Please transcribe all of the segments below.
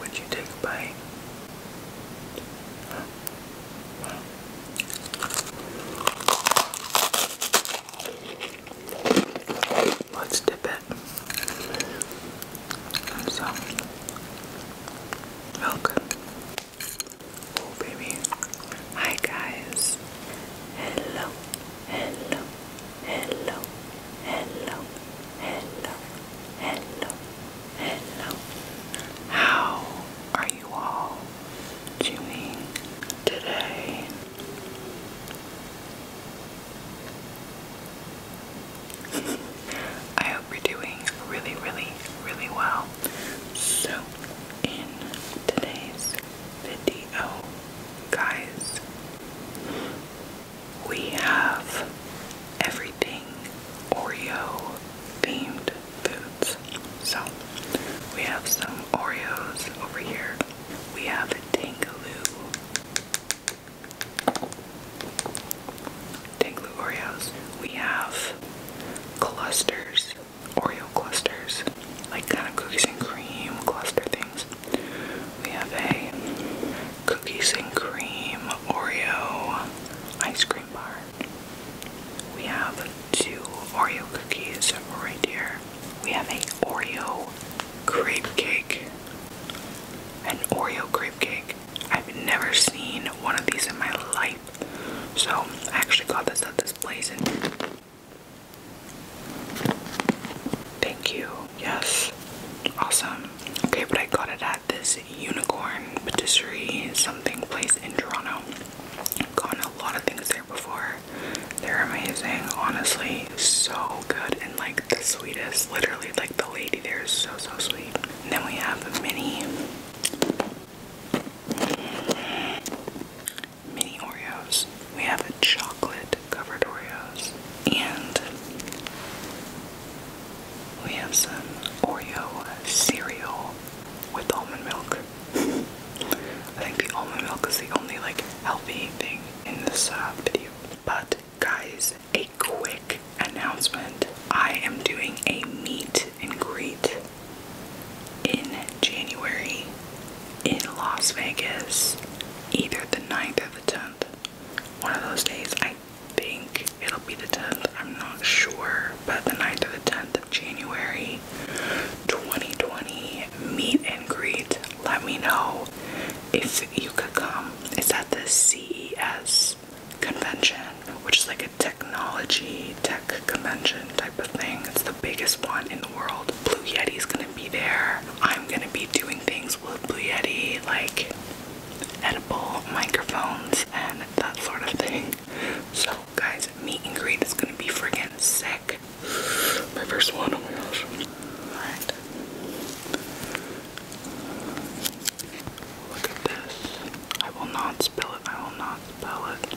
Would you take a bite? Huh? Wow. Let's dip it. So, milk. Oh, baby. Hi, guys. Hello, hello, hello, hello, hello, hello, hello. How are you all doing today? I hope you're doing really, really, really well. So, in today's video, guys, we have everything Oreo themed foods. So, we have some Oreos over here. We have a Tangaloo. Danglu Oreos. We have clusters, Oreo clusters, like kind of cookies and cream cluster things. We have a cookies and cream Oreo ice cream bar. We have two Oreo cookies right here. We have a Oreo crepe cake. An Oreo crepe cake. I've never seen one of these in my life. So I actually got this at this place thank you. Yes. Awesome. Okay, but I got it at this unicorn patisserie something place in Toronto. I've gone a lot of things there before. They're amazing, honestly, so good and like the sweetest. Literally, like the lady there is so so sweet. then we have mini Mini Oreos. We have a chocolate covered Oreos and we have some Oreo cereal with almond milk. I think the almond milk is the only like healthy thing in this video. But guys, a quick announcement. I am doing a meet and greet in January in Las Vegas, either the 9th or the 10th. One of those days, I think it'll be the 10th, I'm not sure, but the 9th or the 10th of January 2020 meet and greet. Let me know if you could come. It's at the CES Convention, which is like a technology, tech convention type of thing. It's the biggest one in the world. Blue Yeti is gonna be there. I'm gonna be doing things with Blue Yeti, like edible microphones and that sort of thing. So, guys, meet and greet is gonna be friggin' sick. My first one, oh my gosh. Look at this. I will not spill it. I will not spill it.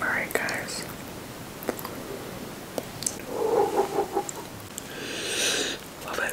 Alright, guys. Love it.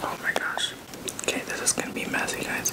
Oh my gosh. Okay, this is gonna be messy, guys.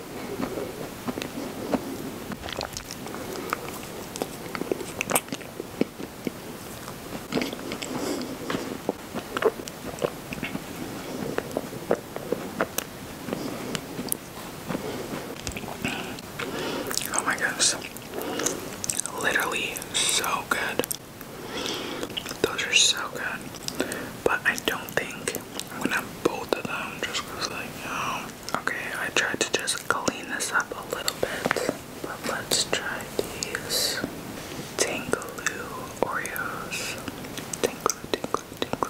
Oh my goodness. Literally so good. Those are so good. But I don't think when I'm both of them just cause like um, okay I tried to just clean this up a little bit but let's try these Tingaloo Oreos Tingaloo Tingaloo Tingaloo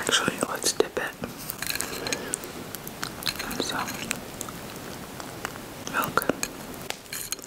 Actually, let's dip it. So, milk.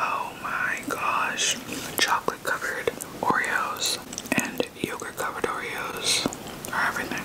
Oh my gosh, chocolate covered Oreos and yogurt covered Oreos are everything.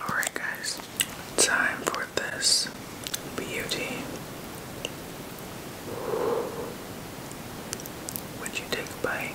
Alright, guys, time for this beauty. Would you take a bite?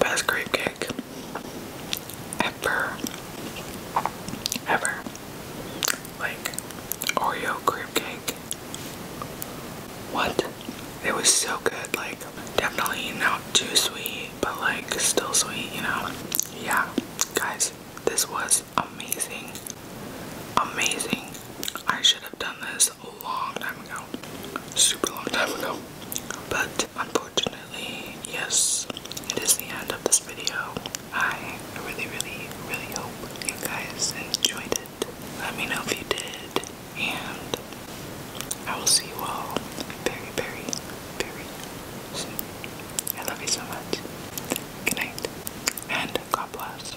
Best grape cake ever. Ever. Like Oreo cream cake what? It was so good, like definitely not too sweet, but like still sweet, you know? Yeah, guys, this was amazing. Amazing. I should have done this a long time ago. Super long time ago. But unfortunately, yes, it is the end of this video. I really, really, really hope you guys enjoyed it. Let me know if you did. And I will see you all very, very, very soon. I love you so much. Good night. And God bless.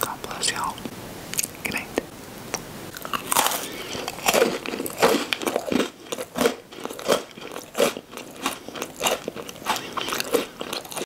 God bless y'all. Good night.